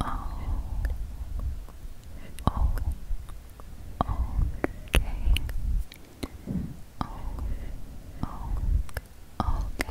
Oh. Oh. Okay. Oh. Oh. Okay. Okay. Oh. Okay.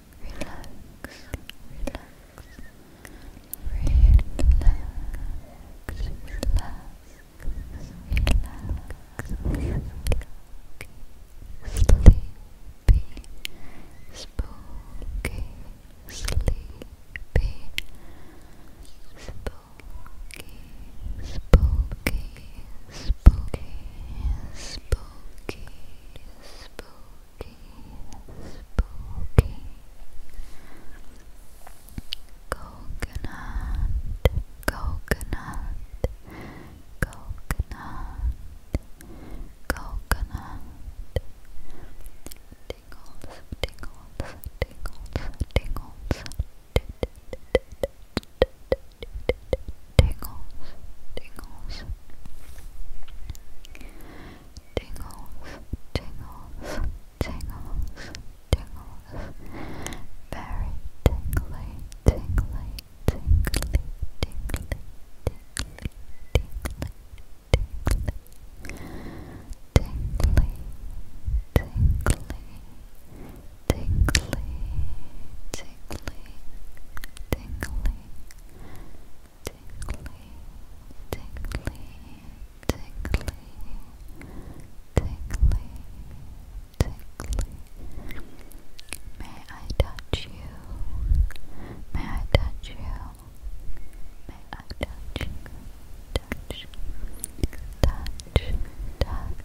relax, relax, relax, relax, relax, sleepy, spooky, sleepy, spooky, spooky, spooky, spooky, spooky, spooky. Coconut, coconut, coconut, coconut. Tingles, tingles, tingles, tingles tingles, tingles, tingles, tingles, tingles, tingles, very tingly, tingly, tingly, tingly, tingly, tingly, tingly, tingly, tingly, tingly, tingly, tingly, tingly, tingly, tingly, tingly, tingly. May I touch you? May I touch you? May I touch you? Touch, touch, touch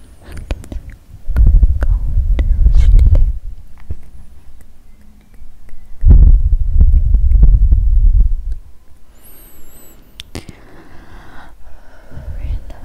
to sleep. Relax, relax,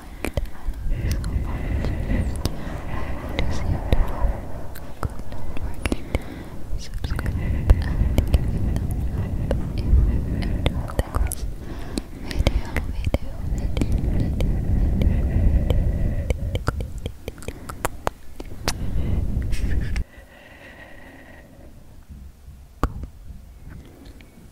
night. I love you so much. I want to see you tomorrow. Don't forget to subscribe and give it up if you enjoyed this video, video, video, video, video, video.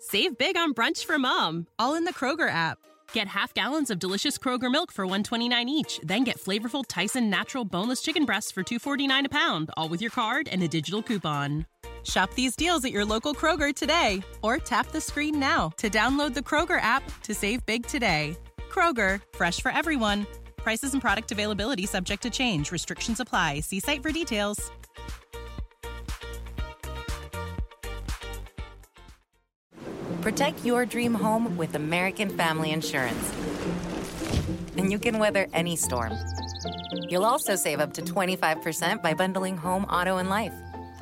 Save big on brunch for mom, all in the Kroger app. Get half gallons of delicious Kroger milk for 129 each, then get flavorful Tyson natural boneless chicken breasts for two forty nine a pound, all with your card and a digital coupon. Shop these deals at your local Kroger today or tap the screen now to download the Kroger app to save big today. Kroger, fresh for everyone. Prices and product availability subject to change. Restrictions apply. See site for details. Protect your dream home with American Family Insurance and you can weather any storm. You'll also save up to 25% by bundling home, auto, and life.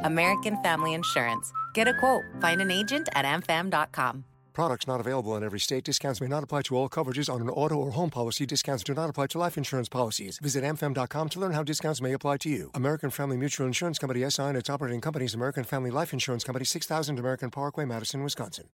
American Family Insurance. Get a quote, find an agent at amfam.com. Products not available in every state. Discounts may not apply to all coverages on an auto or home policy. Discounts do not apply to life insurance policies. Visit amfam.com to learn how discounts may apply to you. American Family Mutual Insurance Company SI and its operating companies, American Family Life Insurance Company, 6000 American Parkway, Madison, Wisconsin.